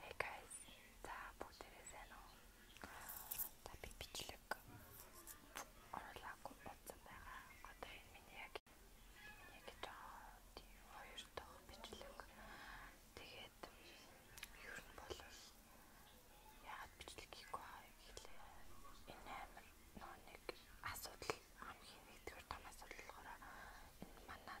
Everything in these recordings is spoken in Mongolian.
Hey guys. За бүгдээрээ сайн уу? Та би бичлэг оруулаагүй болсон байгаа. Одоо энэ миний яг миний гэж хоёр дахь бичлэг. Тэгээд ер нь бол яагаад бичлэг хийхгүй байгааг хэлээ. Энэ амар нөө нэг асуудал хамгийн нэгдүгээр том асуудал болохоор энэ манай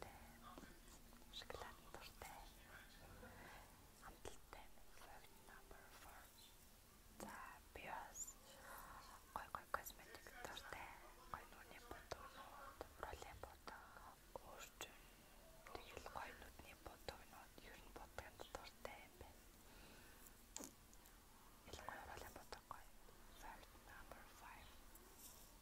дуртай. Шоколад дуртай. Амталтай. Favorite number 4. За, биос. Гой гой косметик дуртай. Гой нүдний бодгонууд, ролын бодгоо, өөрчн. Тэгэл гой нүдний бодгонууд ер нь бодгонд дуртай юм байна. Ялангуяа ролын бодгоо. Favorite number 5.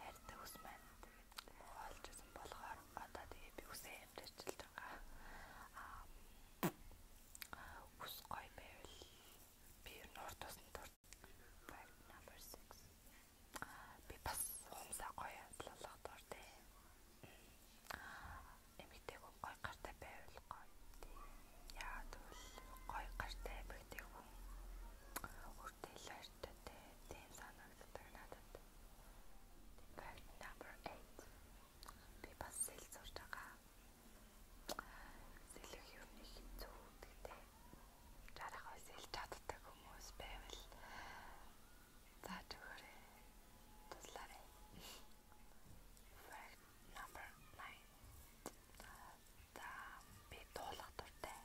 хайртай ус маань тэгээд олж исэн болохоор одоо тэгээ би үсээ амжилтж байгаа. Аа ус гой байвал би нурд тусна дур. Right number 6. Би бас уумсаа гоё амтлах дур тий. Эмэгтэй хүн гой гартай байвал гоё. Яа тэгвэл гой гартай эмэгтэй хүн өөртөө л хайртай тий. Тийм санаа санагддаг надад. Тэгэхээр number 8 би бас сэл зурж байгаа. Сэлэх юм нэг хэцүү гэдэг. Жарахаа сэлж чаддаг хүмүүс байвал зааж өгөөрэй. Туслаарай. Fact number 9. Та би туулах дуртай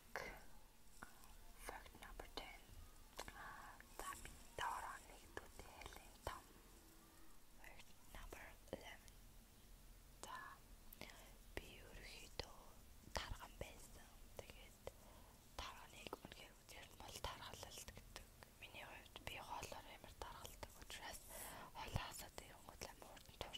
байдаг. Fact number 10. За би дараа нэгдүгээр хэлэн том. Fact number 11. За би ерөөхдөө тарган байсан. Тэгээд тарганыг үнхээр үзэл мал таргалалт гэдэг. Миний хувьд би хоолоор амар таргалдаг учраас хоолоосоо дэрэнгүүт амар урд нь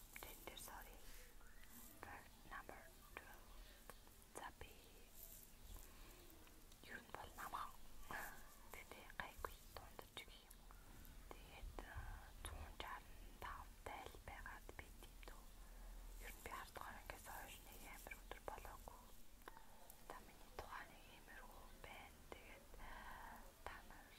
Tender sorry. Bird number 12. За би юу нь бол намаа. Тэгтээ гайгүй дундаж гэх юм. Тэгээд 165 э, тайл байгаад би тиймдүү. Ер нь би хардгаар ингээс хойш нэг амар өдөр болоогүй. Та миний тухайн нэг иймэрхүү байна. Тэгээд та нар